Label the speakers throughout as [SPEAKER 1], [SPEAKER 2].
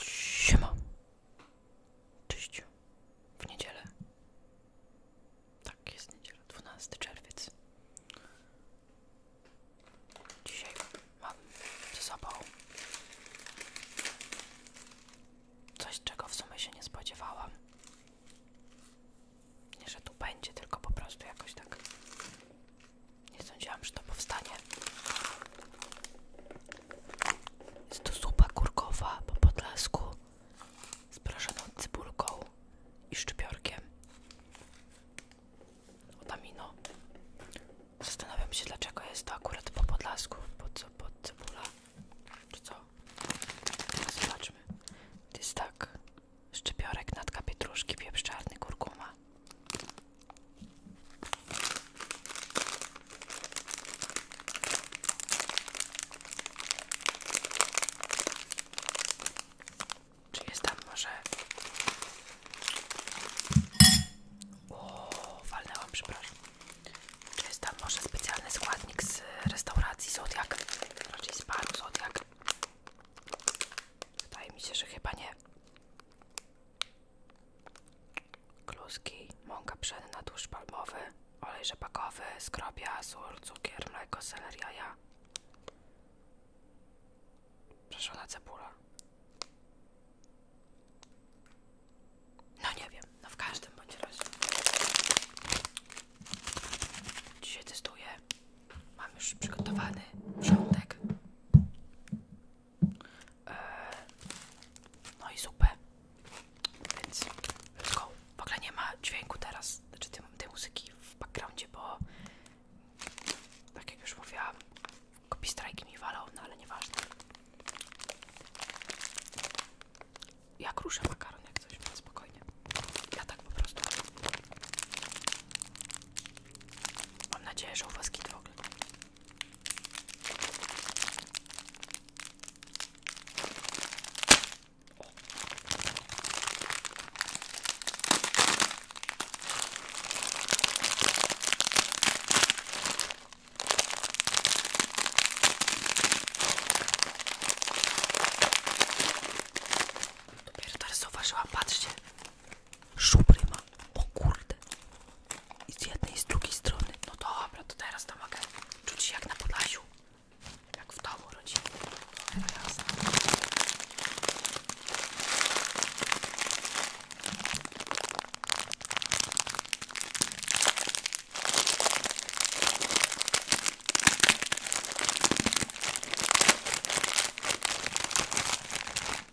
[SPEAKER 1] Siema. Cześć. W niedzielę. Tak, jest niedziela, 12 czerwiec. Dzisiaj mam ze sobą coś, czego w sumie się nie spodziewałam. Nie, że tu będzie, tylko po prostu jakoś tak nie sądziłam, że to powstanie. Jest to zupa kurkowa po podlasku z prażoną cybulką i szczypiorkiem. Otamino. Zastanawiam się, dlaczego jest to akurat po podlasku, po co pod cebula, czy Zobaczmy. To jest tak. Szczypiorek, natka pietruszki, pieprz czarny, kurkuma. Czy jest tam może... O, walnęłam, przepraszam. Czy jest tam może specjalny składnik z restauracji Zodiak? Raczej z Zodiak. Wydaje mi się, że chyba nie kluski, mąka pszenna, tłuszcz palmowy, olej rzepakowy, skrobia, sól, cukier, mleko, seler, jaja, na cebula. No nie wiem, no w każdym bądź razie. Dzisiaj testuję. Mam już przygotowany wrzątek. Eee, no i zupę. Więc let's go. W ogóle nie ma dźwięku teraz, znaczy tej, tej muzyki w backgroundzie, bo tak jak już mówiłam, copy strajk mi walał, no ale nieważne. Ja kruszę makaron jak coś, więc spokojnie. Ja tak po prostu. Mam nadzieję, że u was kitwo ogóle. Dopiero teraz zauważyłam, patrzcie Szubryma. O kurde. I z jednej i z drugiej strony. No dobra, to teraz to mogę czuć się jak na Podlasiu. Jak w domu rodzinnym.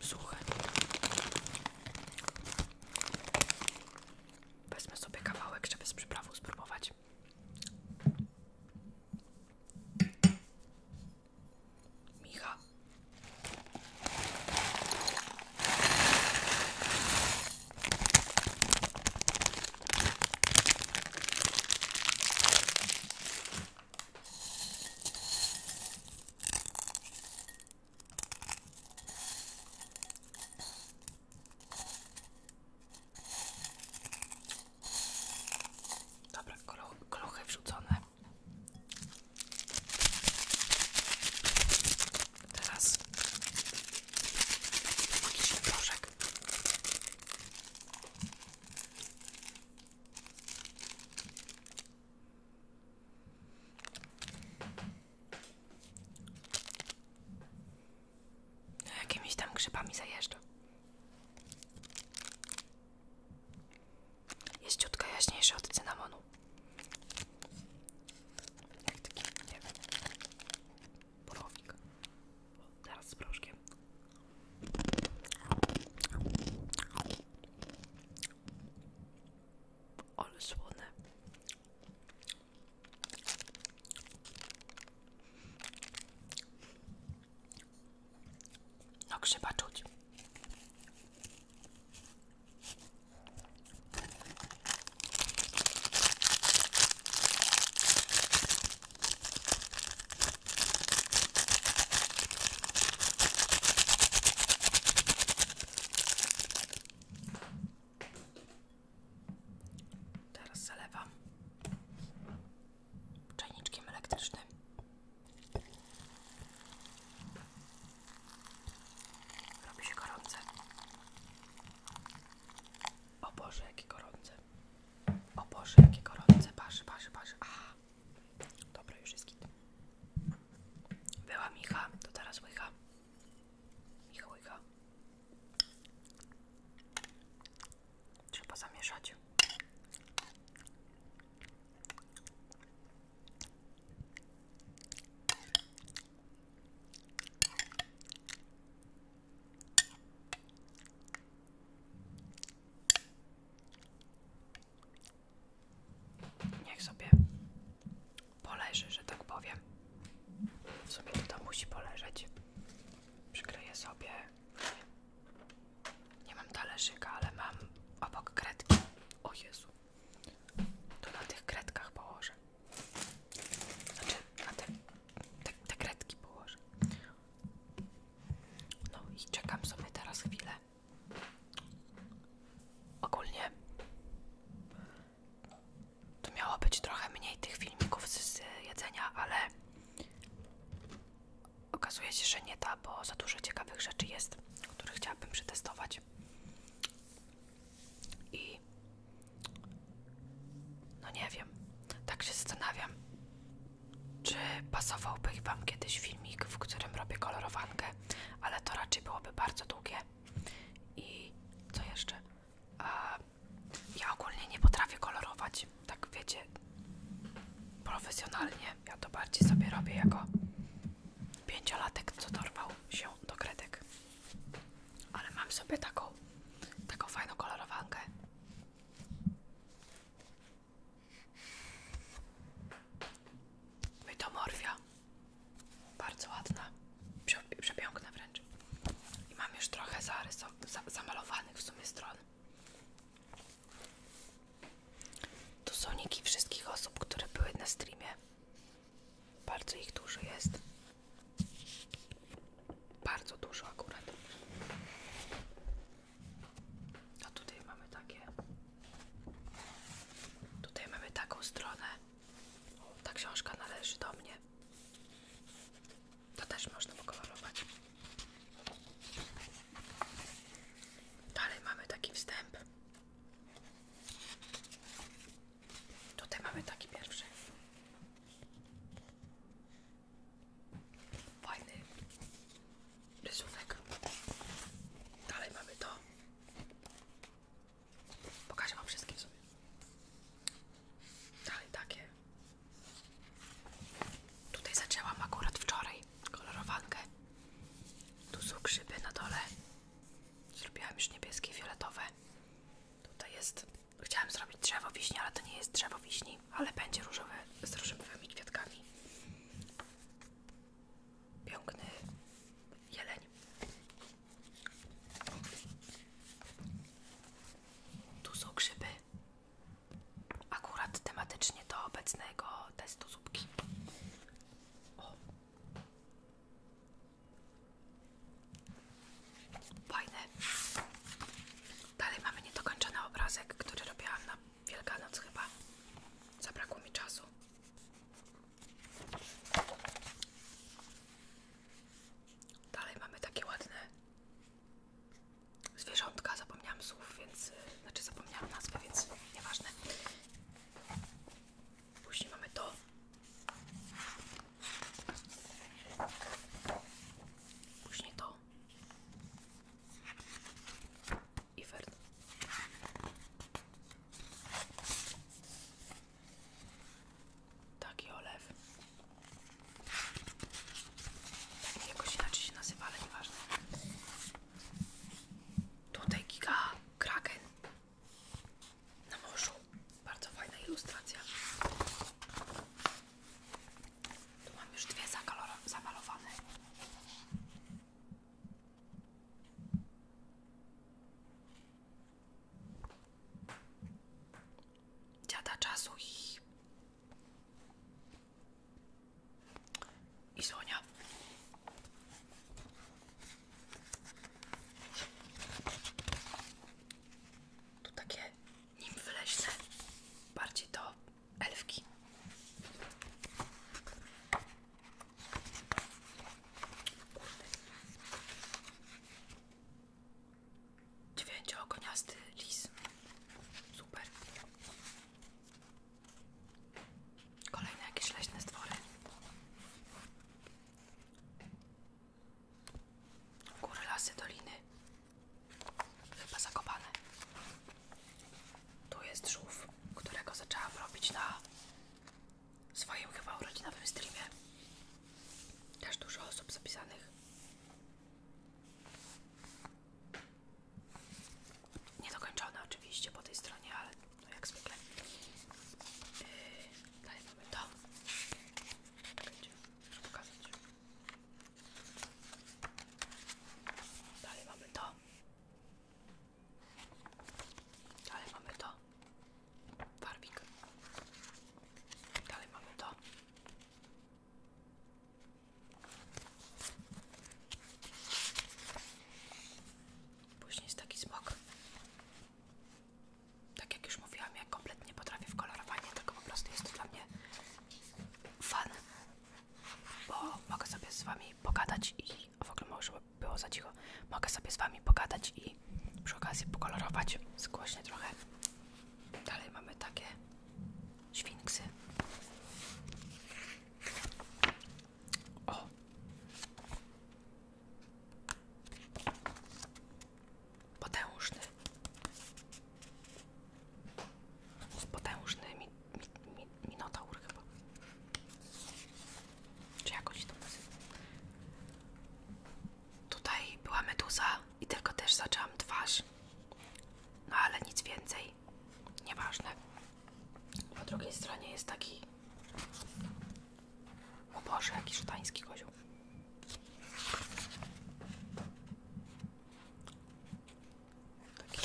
[SPEAKER 1] suche. Wezmę sobie kawałek, żeby z spróbować. Micha. Dobra, koluchy wrzucone. Teraz magiczny proszek. No, jakimiś tam grzybami zajeżdża. Jest ciutka jaśniejsza od cynamonu. Jak Teraz z proszkiem ale słone. No grzyba czuć. Teraz zalewam czajniczkiem elektrycznym. Robi się gorące. O Boże, jakie gorące. O Boże, jakie gorące. Parzy, parzy, parzy. Aha. Dobra, już jest git. Była Micha, to teraz Łycha. Trzeba zamieszać. Niech sobie poleży, że tak powiem. W Sobie to musi poleżeć. Przykryję sobie. Nie mam talerzyka, ale mam obok kredki. O Jezu. To na tych kredkach położę. Znaczy, na te, te, te kredki położę. No i czekam sobie teraz chwilę. Ogólnie to miało być trochę mniej tych filmików z, jedzenia, ale okazuje się, że nie da, bo za dużo ciekawych rzeczy jest, które chciałabym przetestować. I no nie wiem, tak się zastanawiam, czy pasowałby Wam kiedyś filmik, w którym robię kolorowankę ale to raczej byłoby bardzo długie. I co jeszcze? Ja ogólnie nie potrafię kolorować, tak wiecie, profesjonalnie. Ja to bardziej sobie robię jako pięciolatek, co dorwał się do kredek. Ale mam sobie taką, taką fajną kolorowankę. Mytomorfia. Bardzo ładna. Przepiękna wręcz. I mam już trochę zarys, zamalowanych w sumie stron. Tu są niki wszystkich osób, które były na streamie. Bardzo ich dużo jest. Bardzo dużo akurat. A tutaj mamy takie Tutaj mamy taką stronę. Ta książka należy do mnie. To też można pokolorować. Dalej mamy taki wstęp. Tutaj mamy taki pierwszy. Fajny rysunek. Dalej mamy to. Pokażę Wam wszystkie sobie. Dalej takie. Tutaj zaczęłam akurat wczoraj kolorowankę. Tu są grzyby na dole. Zrobiłam już niebieskie, i fioletowe. Tutaj jest... Chciałam zrobić drzewo wiśni, ale to nie jest drzewo wiśni, ale będzie różowe z różowymi kwiatkami piękny jeleń. Tu są grzyby. Akurat tematycznie do obecnego testu zupki. Fajne. Dalej mamy niedokończony obrazek, który robiłam na Wielkanoc chyba. Zabrakło mi czasu. Dalej mamy takie ładne zwierzątka. Zapomniałam słów, więc. Znaczy, zapomniałam nazwy, więc nieważne. Później mamy to. Później to i Fern. Taki olew. Tak jakoś inaczej się nazywa, ale nieważne. Tutaj giga kraken na morzu. Bardzo fajna ilustracja. Tu mam już dwie zamalowane. Dziada czasu i... i Tu takie nim leśne, bardziej to elfki. Dziewięciogoniasty lis. Super. Kolejne jakieś leśne stwory. Góry, lasy, doliny. Chyba zakopane. Tu jest żółw, którego zaczęłam robić na swoim chyba urodzinowym streamie. Też dużo osób zapisanych. Niedokończone oczywiście po tej stronie, ale no jak zwykle. Yy, dalej mamy to. Czekajcie, muszę pokazać. Dalej mamy to. Dalej mamy to. farbig. Dalej mamy to. Później jest taki smok. Tak jak już mówiłam, ja kompletnie potrafię w kolorowaniu, tylko po prostu jest to dla mnie fan, bo mogę sobie z Wami pogadać i a w ogóle może żeby było za cicho, mogę sobie z wami pogadać i przy okazji pokolorować zgłośnie trochę. Dalej mamy takie świnksy. O! Potężny. Z potężnymi mi, Minotaur chyba. Czy jakoś to nazywa? Tutaj była meduza i tylko też zaczęłam twarz. No ale nic więcej. Nieważne. Po drugiej stronie jest taki... O Boże, jaki szatański kozioł. Taki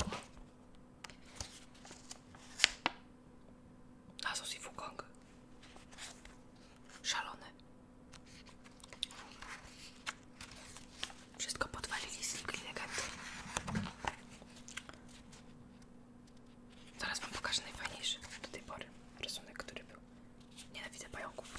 [SPEAKER 1] Nasus i Wukong. Szalony. Wszystko podwalili znikli legendy. Zaraz wam pokażę najfajniejszy do tej pory rysunek, który był. Nienawidzę pająków.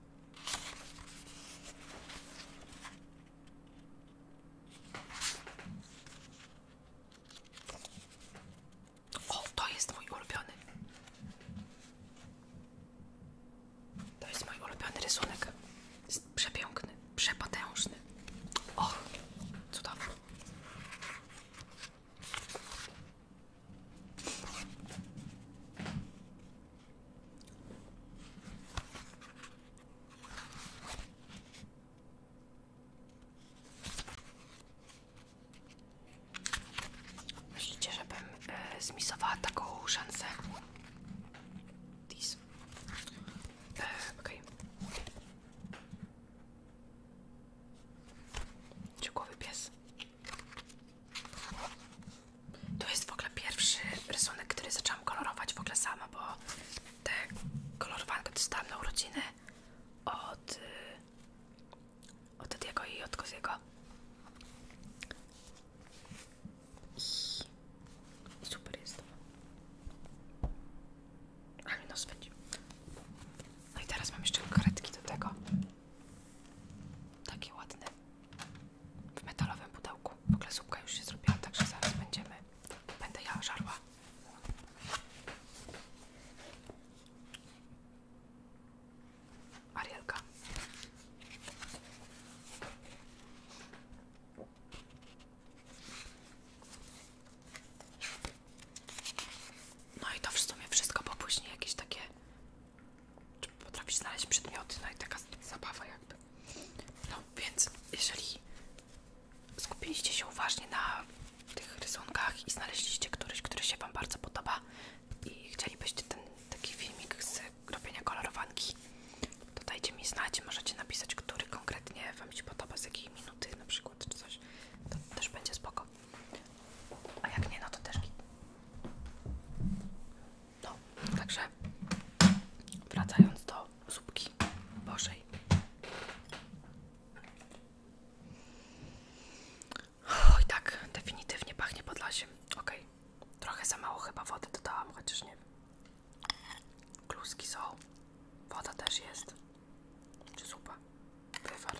[SPEAKER 1] O, to jest mój ulubiony. To jest mój ulubiony rysunek. Jest przepiękny, przepotężny. O, cudowny. Myślicie, żebym e, zmisowała taką szansę? This. E, Okej. Okay. To jest w ogóle pierwszy rysunek, który zaczęłam kolorować w ogóle sama, bo te kolorowankę dostałam na urodziny od, od Tediego i od Koziego. I super jest to. Ale no spędził. No i teraz mam jeszcze kredki do tego. Takie ładne w metalowym pudełku. W ogóle zupka już się zrobiła, także zaraz będziemy, będę ja żarła. Arielka. No i to w sumie wszystko, bo później jakieś takie czy potrafisz znaleźć przedmioty, no i taka zabawa jakby. No więc jeżeli skupiliście się uważnie na tych rysunkach i znaleźliście któryś, który się Wam bardzo podoba i chcielibyście ten taki filmik z robienia kolorowanki, to dajcie mi znać, możecie napisać, który konkretnie Wam się podoba, z jakiej minuty na przykład, czy coś. To też będzie spoko. A jak nie, no to też no, także wracając do zupki Bożej. Oj tak, definitywnie pachnie Podlasiem. Ok, trochę za mało chyba wody dodałam, chociaż nie Kluski są, woda też jest. Czy zupa? Wywar.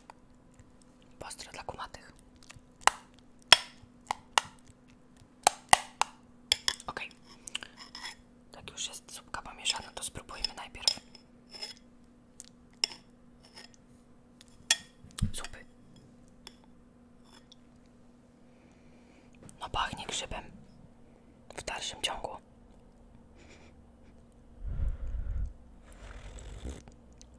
[SPEAKER 1] Postro dla kumatych. Ok. Tak już jest zupka pomieszana, to spróbujmy najpierw zupy. No pachnie grzybem w dalszym ciągu.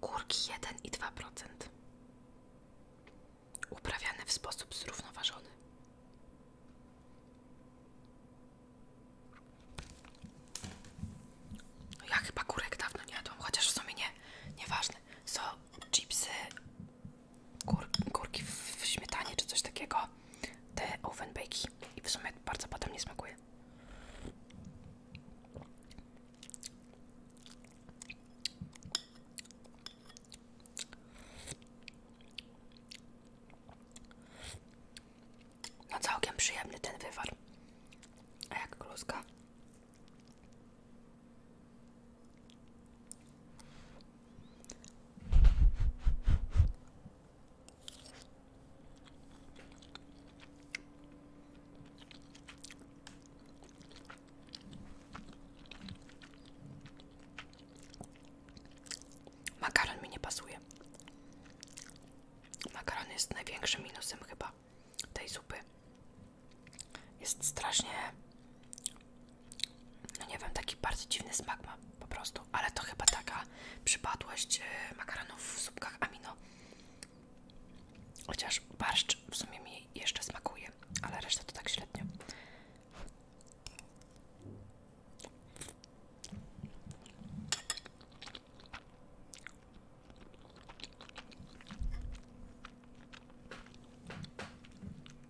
[SPEAKER 1] Kurki jeden i dwa procent, uprawiane w sposób zrównoważony. No ja chyba kurek dawno nie jadłam, chociaż w sumie nie, ważne. Są chipsy kur, kurki w, śmietanie czy coś takiego, te oven bakey i w sumie bardzo potem nie smakuje. No całkiem przyjemny ten wywar, a jak kluska. Makaron mi nie pasuje. Makaron jest największym minusem chyba tej zupy. Jest strasznie no nie wiem, taki bardzo dziwny smak ma po prostu, ale to chyba taka przypadłość e, makaronów w słupkach amino. Chociaż barszcz w sumie mi jeszcze smakuje, ale reszta to tak średnio.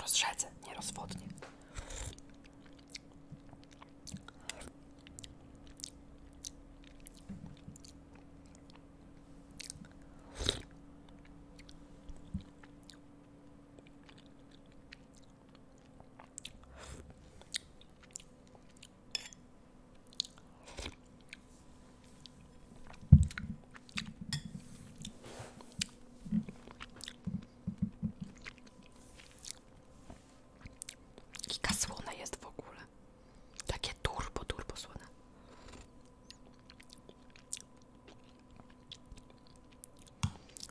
[SPEAKER 1] Rozrzedzę, nie rozwodnie. Kika słone jest w ogóle. Takie turbo, turbo słone.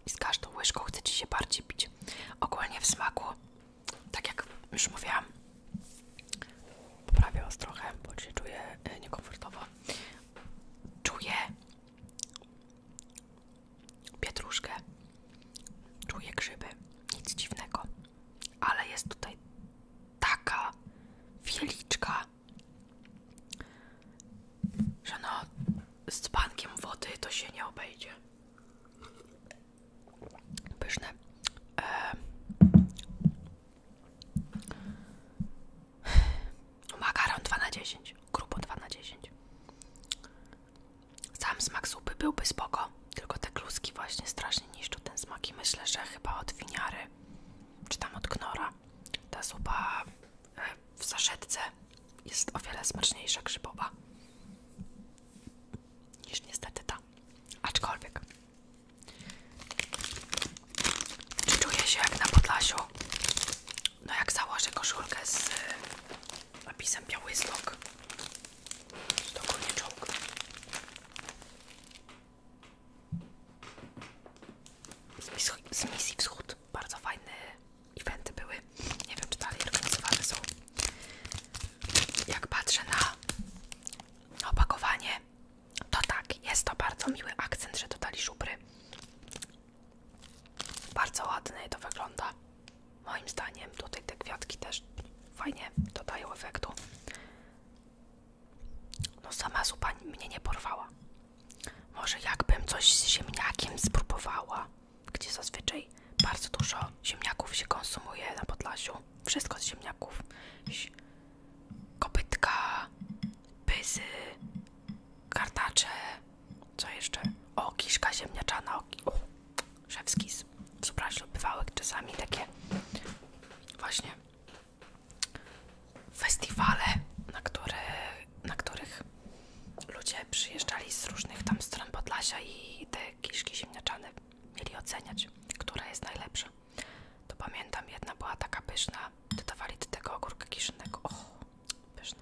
[SPEAKER 1] I z każdą łyżką chce ci się bardziej pić. Ogólnie w smaku, tak jak już mówiłam, poprawię was trochę, bo się czuję e, niekomfortowo. Czuję pietruszkę, czuję grzyby, nic dziwnego, ale jest tutaj taka wieliczka, że no z bankiem wody to się nie obejdzie. Pyszne. E, Makaron 2 na 10, grubo 2 na 10. Sam smak zupy byłby spoko, tylko te kluski właśnie strasznie niszczą ten smak i myślę, że chyba od winiary, czy tam od knora, ta zupa e, w saszetce jest o wiele smaczniejsza grzybowa niż niestety ta, aczkolwiek czy czuję się jak na Podlasiu? No jak założę koszulkę z y, napisem biały Białystok. To ogólnie czołg. Z misji wschód. Bardzo fajne eventy były. Nie wiem, czy dalej organizowane są. Jak patrzę na opakowanie, to tak, jest to bardzo miły akcent, że dodali żubry. Bardzo ładnie to wygląda. Moim zdaniem tutaj te kwiatki też fajnie dodają efektu. No sama zupa mnie nie porwała. Może jakbym coś z ziemniakiem spróbowała, gdzie zazwyczaj bardzo dużo ziemniaków się konsumuje na Podlasiu. Wszystko z ziemniaków kopytka, pyzy, kartacze, co jeszcze? O, kiszka ziemniaczana, o, z. szewskis, przepraszam, czasami takie właśnie festiwale, na, który, na których ludzie przyjeżdżali z różnych tam stron Podlasia i te kiszki ziemniaczane mieli oceniać, która jest najlepsza. To pamiętam, jedna była taka pyszna, dodawali do tego ogórka kiszonego. O, pyszne.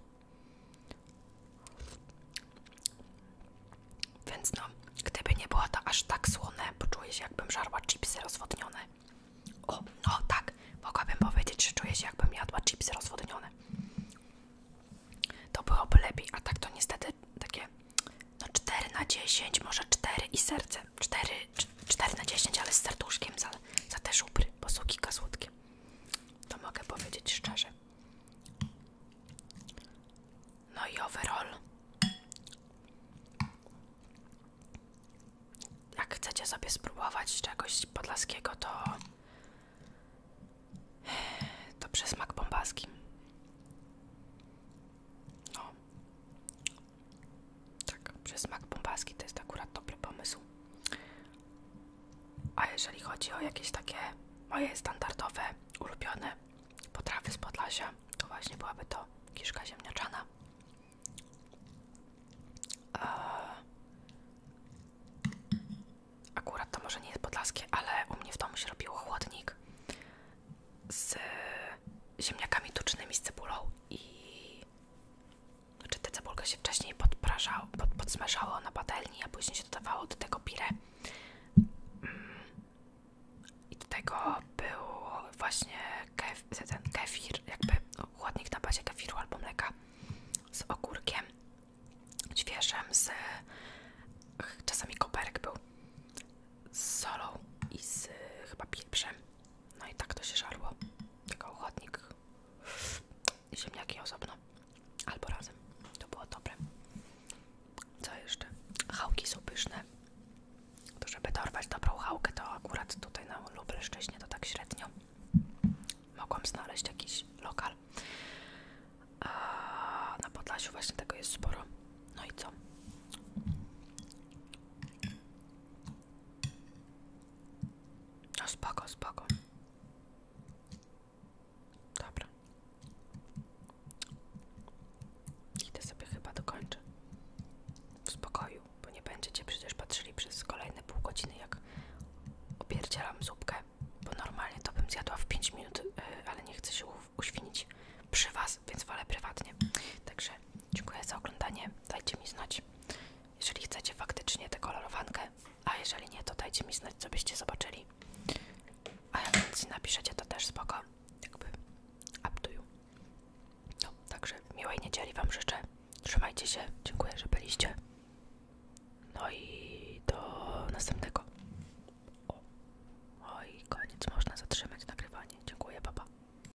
[SPEAKER 1] Więc no, gdyby nie było to aż tak słone, poczuję się jakbym żarła chipsy rozwodnione. O, no tak, mogłabym powiedzieć, że czuję się jakbym jadła chipsy rozwodnione. To byłoby lepiej, a tak to niestety takie no 4 na 10, może 4 i serce. 4 4 na 10, ale z serduszkiem za, te żubry, bo są słodkie. To mogę powiedzieć szczerze. No i overall. Jak chcecie sobie spróbować czegoś podlaskiego, to to przez bombaski. No. Tak, przez smak bombaski to jest akurat dobry pomysł. A jeżeli chodzi o jakieś takie moje standardowe, ulubione potrawy z Podlasia, to właśnie byłaby to kiszka ziemniaczana. Akurat to może nie jest podlaskie, ale u mnie w domu się robiło chłodnik z ziemniakami tucznymi z cebulą i znaczy te cebulka się wcześniej podprażała, pod, podsmażała na patelni, a później się dodawało do tego pire. Mm. I do tego był właśnie kef, ten kefir, jakby no, chłodnik na bazie kefiru albo mleka z ogórkiem świeżym, z czasami koperek był z solą i z chyba pieprzem. No i tak to się żarło. Tylko ochotnik i ziemniaki osobno. Albo razem. To było dobre. Co jeszcze? Chałki są pyszne. To żeby dorwać dobrą chałkę, to akurat tutaj na Lubelszczyźnie to tak średnio. Mogłam znaleźć jakiś lokal. A na Podlasiu właśnie tego jest sporo. No i co? No spoko, spoko. Dobra. Idę sobie chyba dokończę. W spokoju, bo nie będziecie przecież patrzyli przez kolejne pół godziny, jak obierdzielam zupkę, bo normalnie to bym zjadła w 5 minut, y, ale nie chcę się uświnić przy was, więc wolę prywatnie. Także Dziękuję za oglądanie. Dajcie mi znać, jeżeli chcecie faktycznie tę kolorowankę, a jeżeli nie, to dajcie mi znać, co byście zobaczyli. A ja nic napiszecie, to też spoko. Jakby up to you. No, także miłej niedzieli Wam życzę. Trzymajcie się. Dziękuję, że byliście. No i do następnego. O, o koniec. Można zatrzymać nagrywanie. Dziękuję, papa.